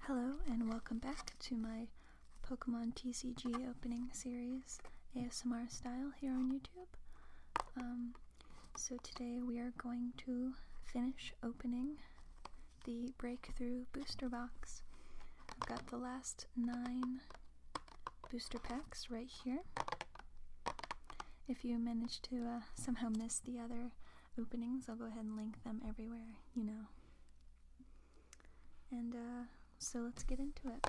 Hello, and welcome back to my Pokemon TCG opening series, ASMR style, here on YouTube. Um, so, today we are going to finish opening the Breakthrough Booster Box. I've got the last nine booster packs right here. If you manage to uh, somehow miss the other openings. I'll go ahead and link them everywhere, you know. And uh, so let's get into it.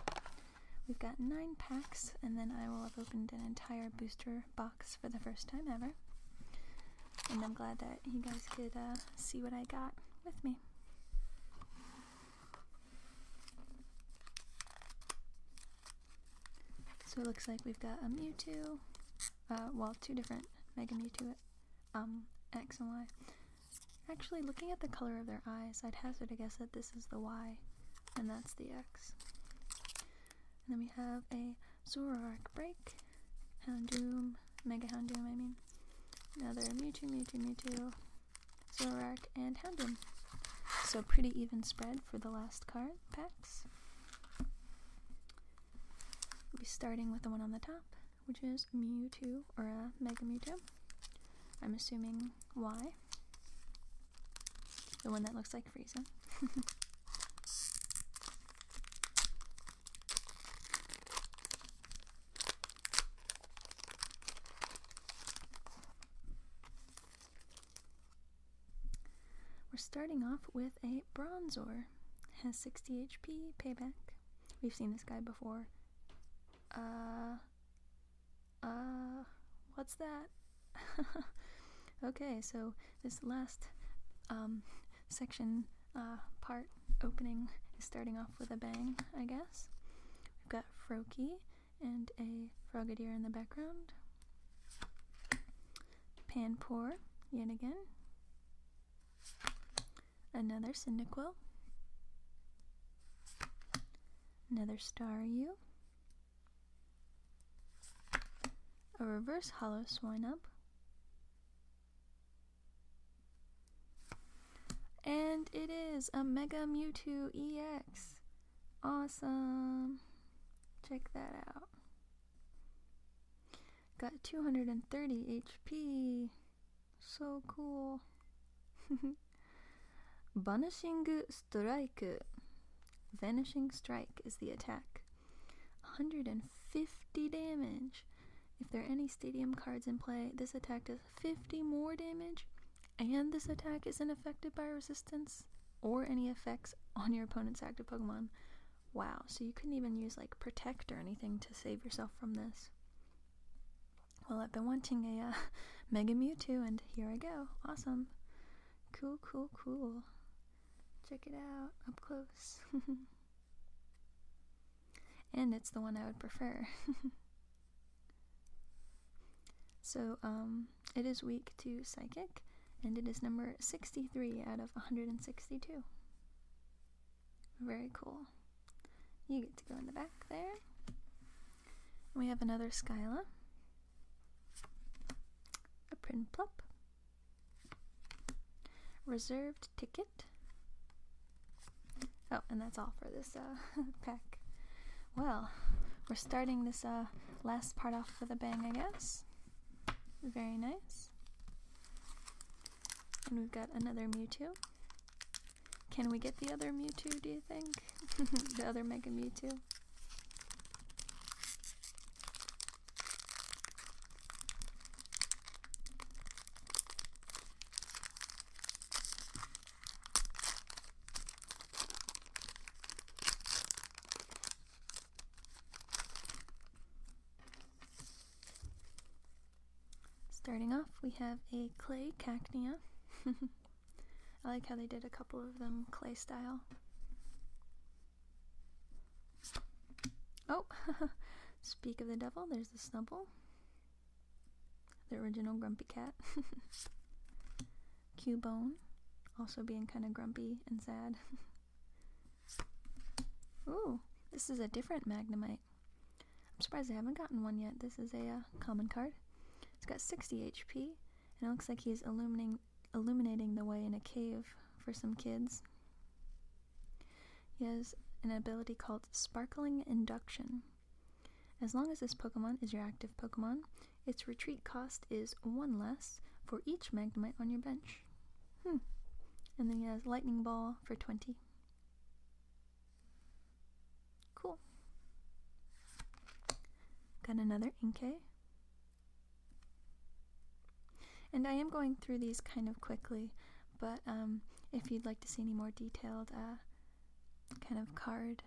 We've got nine packs, and then I will have opened an entire booster box for the first time ever. And I'm glad that you guys could uh, see what I got with me. So it looks like we've got a Mewtwo, uh, well, two different Mega to it, um, X and Y. Actually, looking at the color of their eyes, I'd hazard a guess that this is the Y, and that's the X. And then we have a Zoroark Break, Houndoom, Mega Houndoom, I mean. Another Mewtwo, Mewtwo, Mewtwo, Zoroark, and Houndoom. So pretty even spread for the last card packs. We'll be starting with the one on the top, which is Mewtwo or a uh, Mega Mewtwo. I'm assuming Y. The one that looks like Frieza. We're starting off with a Bronzor. Has 60 HP, payback. We've seen this guy before. Uh. Uh. What's that? okay, so this last um, section uh, part opening is starting off with a bang, I guess. We've got Froakie and a Frogadier in the background. Panpour, yet again. Another Cyndaquil. Another Staryu. A reverse hollow Swinub. And it is a Mega Mewtwo EX. Awesome. Check that out. Got 230 HP. So cool. Vanishing Strike. Vanishing Strike is the attack. 150 damage. If there are any stadium cards in play, this attack does 50 more damage, and this attack isn't affected by resistance or any effects on your opponent's active Pokemon Wow, so you couldn't even use like protect or anything to save yourself from this. Well, I've been wanting a uh, Mega Mewtwo, and here I go. Awesome. Cool, cool, cool. Check it out up close. and it's the one I would prefer. so, um, it is weak to psychic, and it is number 63 out of 162. Very cool. You get to go in the back there. We have another Skyla, a Prinplup, reserved ticket. Oh, and that's all for this uh, pack. Well, we're starting this uh, last part off with a bang, I guess. Very nice. And we've got another Mewtwo. Can we get the other Mewtwo, do you think? the other Mega Mewtwo? Starting off, we have a clay cacnea. I like how they did a couple of them clay style. Oh, speak of the devil, there's the snubble. The original grumpy cat. Cubone, also being kind of grumpy and sad. Ooh, this is a different Magnemite. I'm surprised I haven't gotten one yet. This is a uh, common card. It's got 60 HP, and it looks like he's illuminating, illuminating the way in a cave for some kids. He has an ability called Sparkling Induction. As long as this Pokemon is your active Pokemon, its retreat cost is one less for each Magnemite on your bench. Hmm. And then he has lightning ball for 20. Cool. Got another Inkay. And I am going through these kind of quickly, but um, if you'd like to see any more detailed uh, kind of card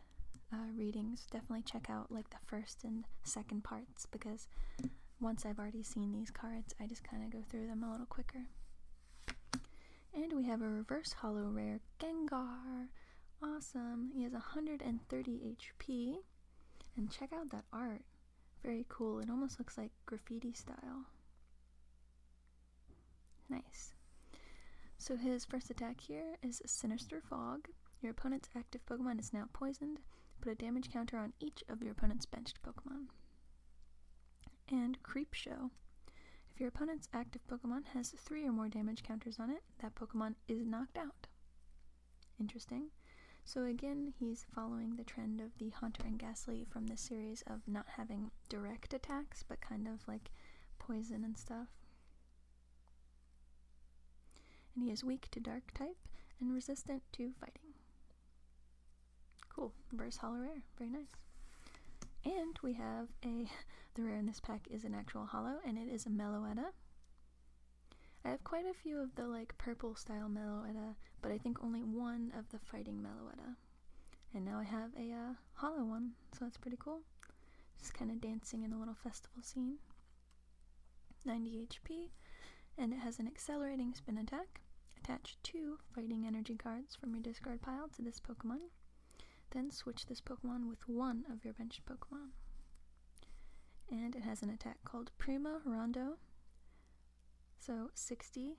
uh, readings, definitely check out like the first and second parts because once I've already seen these cards, I just kind of go through them a little quicker. And we have a reverse hollow rare Gengar. Awesome. He has 130 HP. And check out that art. Very cool. It almost looks like graffiti style. Nice. So his first attack here is Sinister Fog. Your opponent's active Pokemon is now poisoned. Put a damage counter on each of your opponent's benched Pokemon. And Creep Show. If your opponent's active Pokemon has three or more damage counters on it, that Pokemon is knocked out. Interesting. So again, he's following the trend of the Hunter and Ghastly from this series of not having direct attacks, but kind of like poison and stuff. And he is weak to dark type and resistant to fighting. Cool. Verse Hollow Rare. Very nice. And we have a. The rare in this pack is an actual hollow, and it is a Meloetta. I have quite a few of the like purple style Meloetta, but I think only one of the fighting Meloetta. And now I have a uh, hollow one, so that's pretty cool. Just kind of dancing in a little festival scene. 90 HP, and it has an accelerating spin attack. Attach two fighting energy cards from your discard pile to this Pokemon. Then switch this Pokemon with one of your benched Pokemon. And it has an attack called Prima Rondo. So 60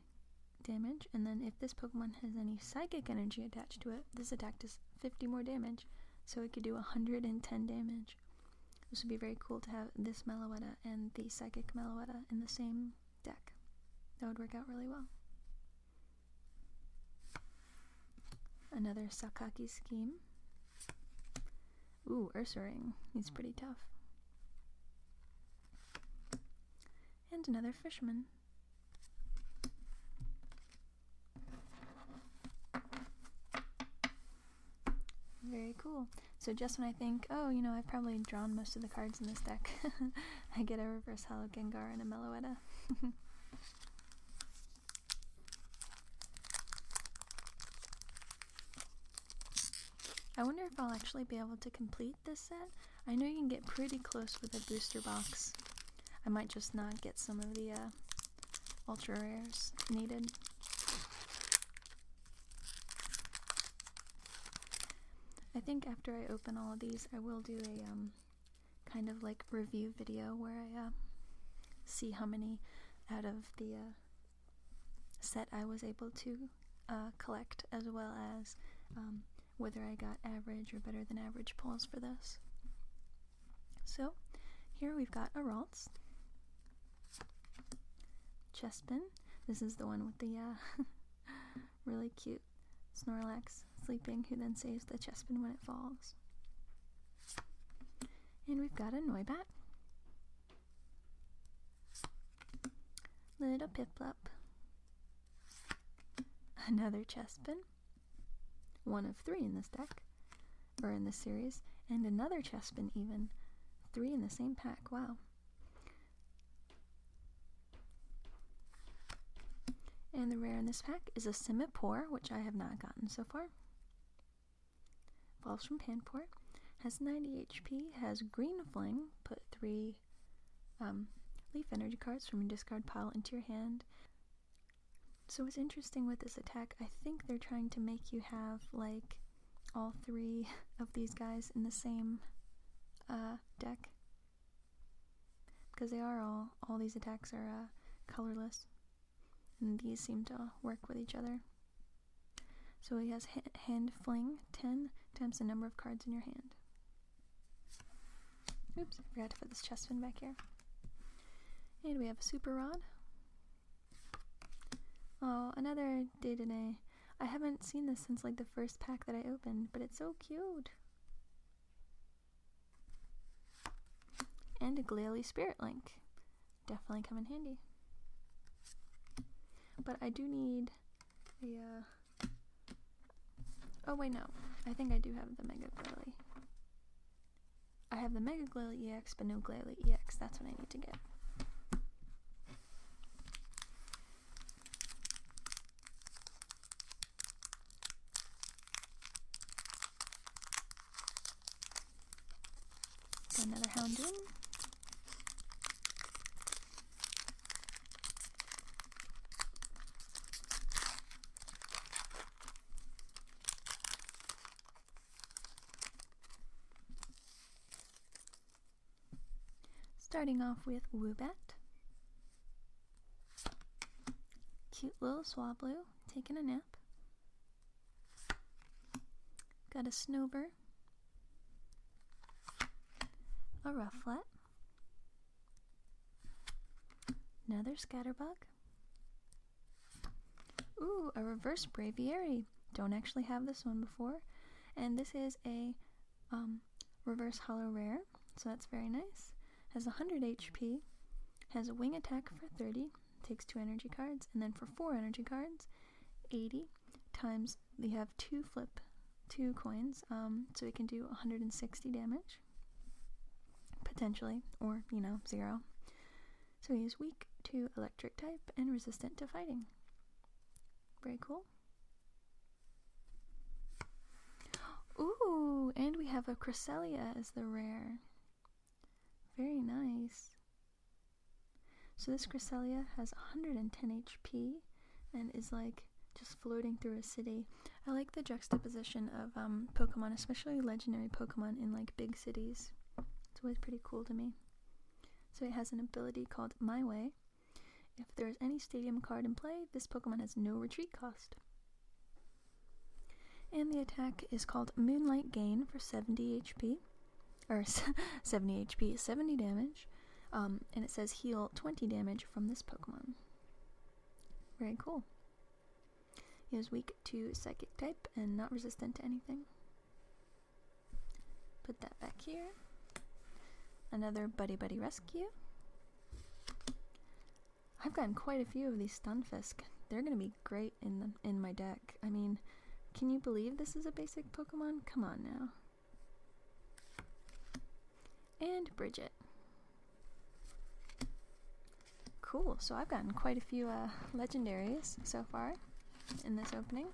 damage, and then if this Pokemon has any psychic energy attached to it, this attack does 50 more damage, so it could do 110 damage. This would be very cool to have this Meloetta and the Psychic Meloetta in the same deck. That would work out really well. Another Sakaki scheme. Ooh, Ursaring. He's hmm. pretty tough. And another Fisherman. Very cool. So just when I think, oh, you know, I've probably drawn most of the cards in this deck, I get a reverse hollow Gengar and a Meloetta. I wonder if I'll actually be able to complete this set. I know you can get pretty close with a booster box. I might just not get some of the uh, ultra rares needed. I think after I open all of these, I will do a um, kind of like review video where I uh, see how many out of the uh, set I was able to uh, collect, as well as um, whether I got average or better than average pulls for this. So, here we've got a Ralts. Chespin. This is the one with the uh, really cute Snorlax sleeping, who then saves the Chespin when it falls. And we've got a Noibat. Little Piplup. Another Chespin. One of three in this deck or in this series, and another chest even. Three in the same pack, wow. And the rare in this pack is a Simipore, which I have not gotten so far. Evolves from Panpour. Has 90 HP, has Green Fling. put three um, Leaf Energy cards from your discard pile into your hand. So what's interesting with this attack, I think they're trying to make you have like all three of these guys in the same uh, deck. Because they are all, all these attacks are uh, colorless. And these seem to work with each other. So he has hand fling 10 times the number of cards in your hand. Oops, I forgot to put this chest back here. And we have a super rod, Oh, another day today. I haven't seen this since like the first pack that I opened, but it's so cute. And a Glalie Spirit Link. Definitely come in handy. But I do need a. Uh, oh, wait, no. I think I do have the Mega Glalie. I have the Mega Glalie EX, but no Glalie EX. That's what I need to get. another Houndoom. Starting off with Woobat. Cute little Swablu taking a nap. Got a Snoober. A Rufflet. Another Scatterbug. Ooh, a reverse Braviary. Don't actually have this one before. And this is a um, reverse hollow rare, so that's very nice. Has 100 HP, has a wing attack for 30, takes 2 energy cards, and then for 4 energy cards, 80 times we have 2 flip, 2 coins, um, so it can do 160 damage, potentially, or, you know, 0. So he is weak to electric type and resistant to fighting. Very cool. Ooh, and we have a Chrysalia as the rare. Very nice. So this Chrysalia has 110 HP and is like just floating through a city. I like the juxtaposition of um, Pokemon, especially legendary Pokemon in like big cities. It's always pretty cool to me. So it has an ability called My Way. If there is any stadium card in play, this Pokemon has no retreat cost. And the attack is called Moonlight Gain for 70 HP, or 70 HP, 70 damage, um, and it says heal 20 damage from this Pokemon. Very cool. He was weak to psychic type and not resistant to anything. Put that back here. Another Buddy Buddy Rescue. I've gotten quite a few of these Stunfisk. They're gonna be great in the, in my deck. I mean, can you believe this is a basic Pokemon? Come on now. And Bridget. Cool, so I've gotten quite a few uh, legendaries so far in this opening.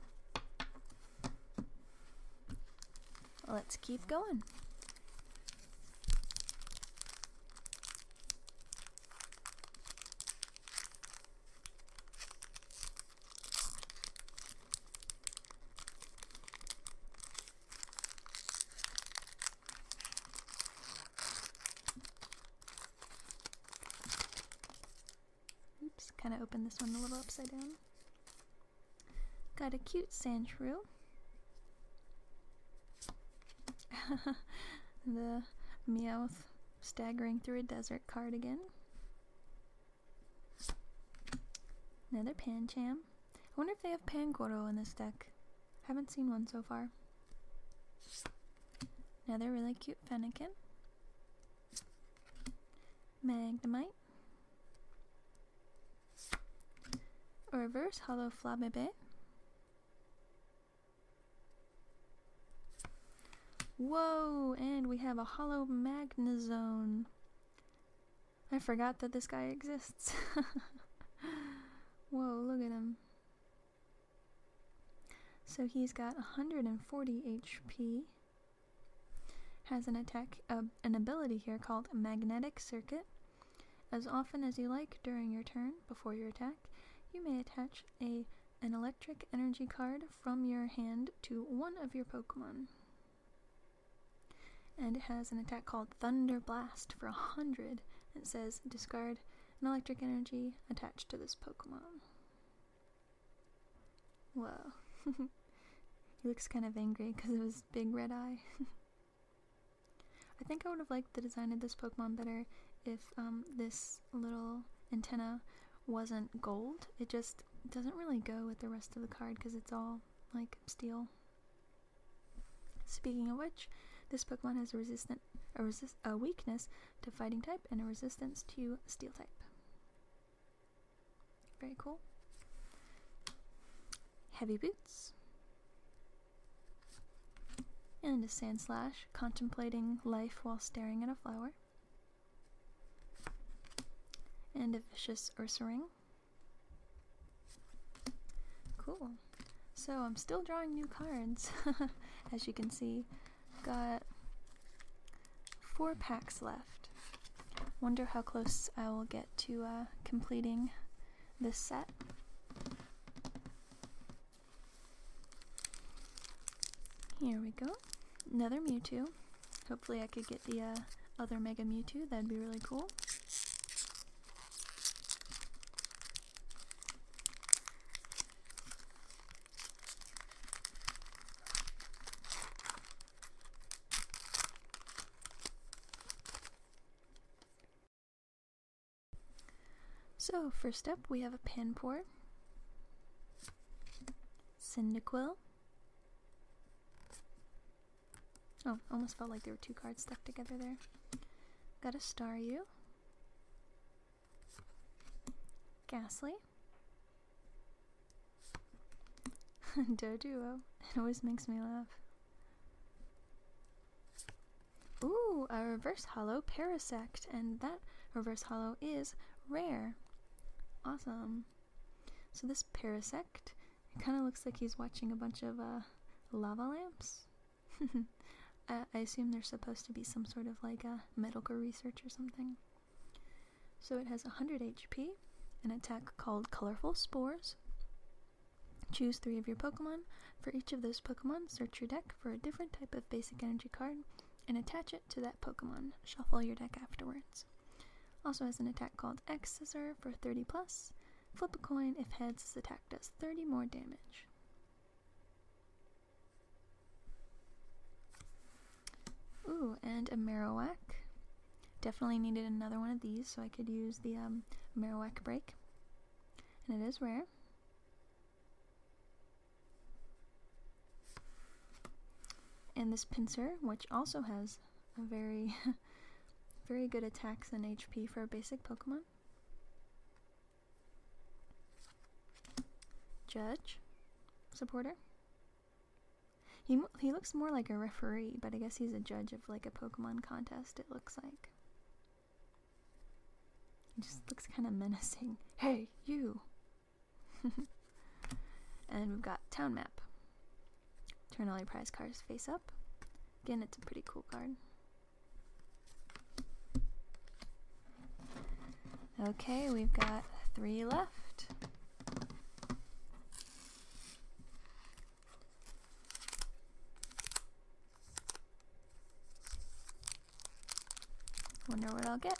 Let's keep going. Oops, kind of opened this one a little upside down. Got a cute sand the Meowth staggering through a desert cardigan. Another Pancham. I wonder if they have Pangoro in this deck. Haven't seen one so far. Another really cute Fennekin. Magnemite. A reverse hollow Flabébé. Whoa, and we have a hollow Magnezone. I forgot that this guy exists. Whoa, look at him. So he's got 140 HP. Has an attack, uh, an ability here called Magnetic Circuit. As often as you like during your turn, before your attack, you may attach a an electric energy card from your hand to one of your Pokemon. And it has an attack called Thunder Blast for 100. It says discard an electric energy attached to this Pokemon. Whoa. he looks kind of angry because of his big red eye. I think I would have liked the design of this Pokemon better if um, this little antenna wasn't gold. It just doesn't really go with the rest of the card because it's all like steel. Speaking of which, this Pokemon has a resistance a, weakness to fighting type and a resistance to steel type. Very cool. Heavy boots. And a sand slash, contemplating life while staring at a flower. And a vicious Ursaring. Cool. So I'm still drawing new cards, as you can see. Got four packs left. Wonder how close I will get to uh, completing this set. Here we go. Another Mewtwo. Hopefully, I could get the uh, other Mega Mewtwo. That'd be really cool. So, first up, we have a pan pour, Cyndaquil. Oh, almost felt like there were two cards stuck together there. Got a Star You. Ghastly. Doduo. It always makes me laugh. Ooh, a reverse hollow parasect, and that reverse hollow is rare. Awesome. So this parasect, it kind of looks like he's watching a bunch of uh, lava lamps. I, assume there's supposed to be some sort of like a medical research or something. So it has 100 HP, an attack called Colorful Spores. Choose three of your Pokemon. For each of those Pokemon, search your deck for a different type of basic energy card and attach it to that Pokemon. Shuffle your deck afterwards. Also has an attack called X Scissor for 30 plus. Flip a coin if heads, this attack does 30 more damage. Ooh, and a Marowak. Definitely needed another one of these, so I could use the um, Marowak break. And it is rare. And this pincer, which also has a very, very good attacks and HP for a basic Pokemon. Judge? Supporter? He, he looks more like a referee, but I guess he's a judge of like a Pokemon contest, it looks like. He just looks kind of menacing. Hey, you! and we've got Town Map. Turn all your prize cards face up. Again, it's a pretty cool card. Okay, we've got three left. Wonder what I'll get.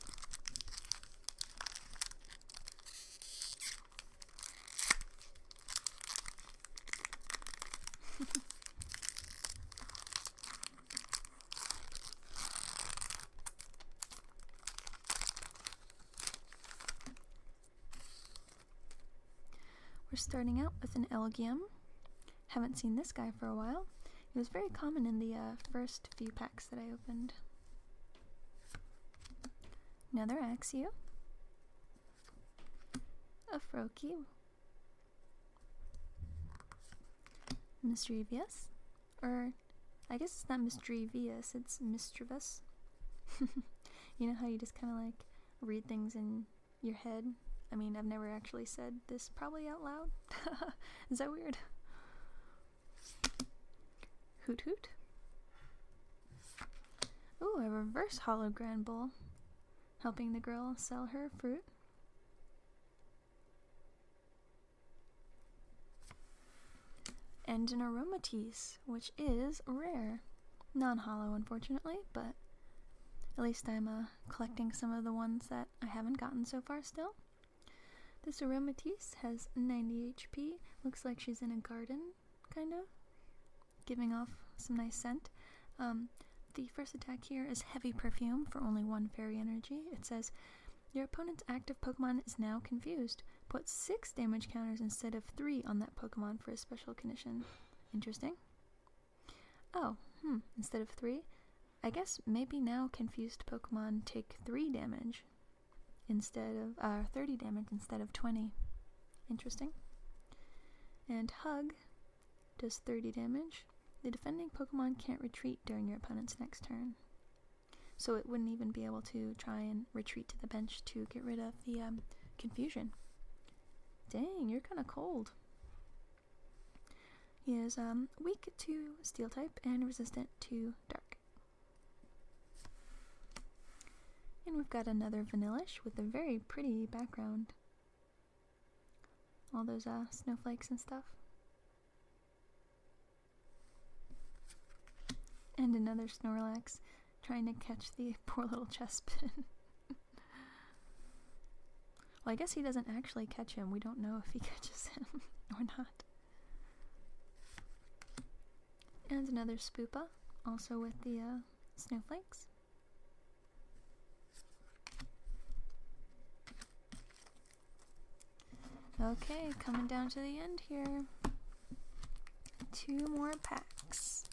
We're starting out with an Elgium. Haven't seen this guy for a while. It was very common in the uh, first few packs that I opened. Another Axio. A Froakie Mischievous? Or, I guess it's not mischievous, it's mischievous. you know how you just kind of like read things in your head? I mean, I've never actually said this probably out loud. Is that weird? Hoot hoot. Ooh, a reverse hologram bowl. Helping the girl sell her fruit. And an aromatisse, which is rare. Non hollow, unfortunately, but at least I'm uh, collecting some of the ones that I haven't gotten so far still. This aromatisse has 90 HP. Looks like she's in a garden, kind of, giving off some nice scent. Um, the first attack here is Heavy Perfume for only one fairy energy. It says, Your opponent's active Pokemon is now confused. Put six damage counters instead of three on that Pokemon for a special condition. Interesting. Oh, hmm, instead of three? I guess maybe now confused Pokemon take three damage instead of uh, 30 damage instead of 20. Interesting. And Hug does 30 damage. The defending Pokemon can't retreat during your opponent's next turn. So it wouldn't even be able to try and retreat to the bench to get rid of the um, confusion. Dang, you're kind of cold. He is um, weak to steel type and resistant to dark. And we've got another Vanillish with a very pretty background all those uh, snowflakes and stuff. And another Snorlax trying to catch the poor little chest well, I guess he doesn't actually catch him. We don't know if he catches him or not. And another Spoopa, also with the uh, snowflakes. Okay, coming down to the end here. Two more packs.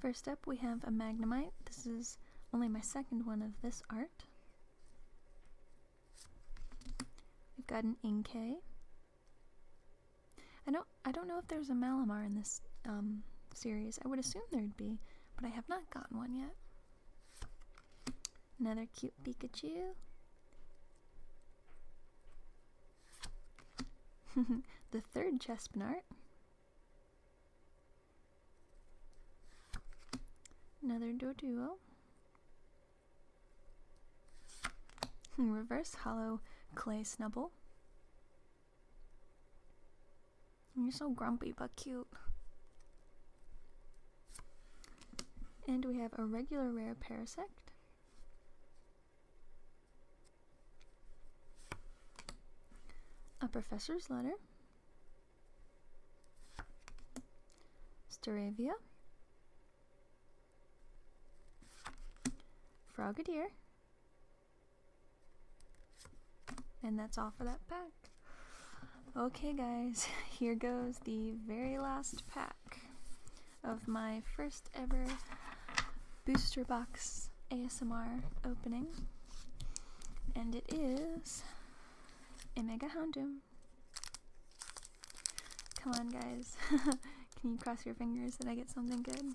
First up, we have a Magnemite. This is only my second one of this art. i have got an Inkay. I don't, I don't know if there's a Malamar in this um, series. I would assume there'd be, but I have not gotten one yet. Another cute Pikachu. the third Chespinart. Another Doduo. Reverse hollow clay snubble. You're so grumpy but cute. And we have a regular rare Parasect. A Professor's Letter. Staravia. Frogadier. And that's all for that pack. Okay, guys, here goes the very last pack of my first ever booster box ASMR opening, and it is a Mega Houndoom. Come on, guys. Can you cross your fingers that I get something good?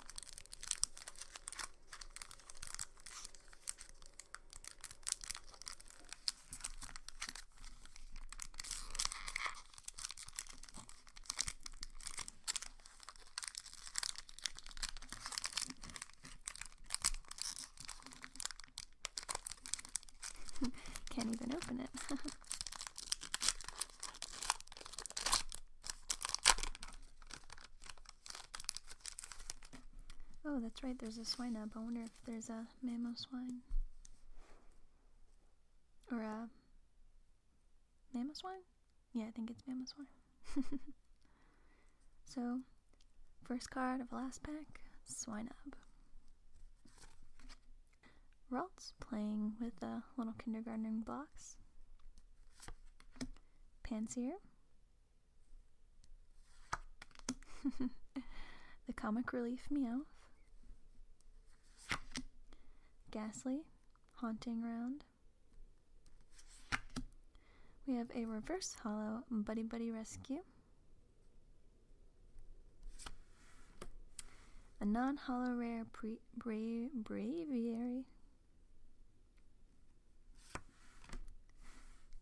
Can't even open it. oh, that's right, there's a swine up. I wonder if there's a Mammo swine, Or, uh, Mamos wine? Yeah, I think it's Mamos swine. so, first card of last pack, swine up. Ralts playing with the little kindergarten blocks. Pansier, the comic relief Meowth. Ghastly, Haunting Round. We have a reverse hollow Buddy Buddy Rescue. A non hollow rare pre bra Braviary.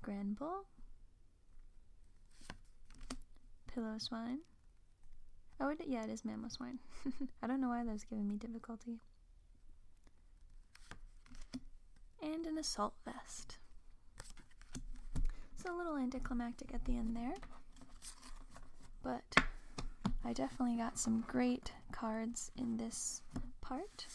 Granbull, Pillow swine. Oh, yeah, it is mammoth swine. I don't know why that was giving me difficulty. And an assault vest. It's a little anticlimactic at the end there. But I definitely got some great cards in this part.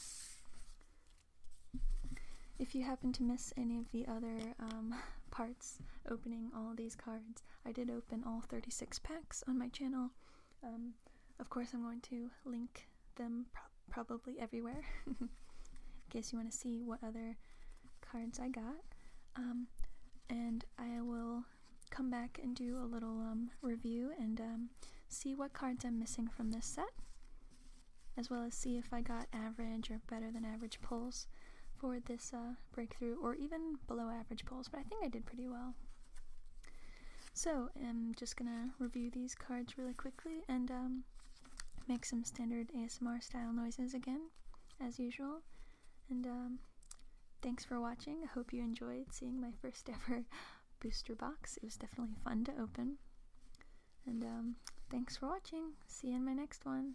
If you happen to miss any of the other um, parts opening all these cards, I did open all 36 packs on my channel. Um, of course, I'm going to link them probably everywhere in case you want to see what other cards I got. Um, and I will come back and do a little review and see what cards I'm missing from this set as well as see if I got average or better than average pulls for this uh, breakthrough, or even below average pulls, but I think I did pretty well. So I'm just gonna review these cards really quickly and um, make some standard ASMR style noises again, as usual. And um, thanks for watching. I hope you enjoyed seeing my first ever booster box. It was definitely fun to open. And um, thanks for watching. See you in my next one.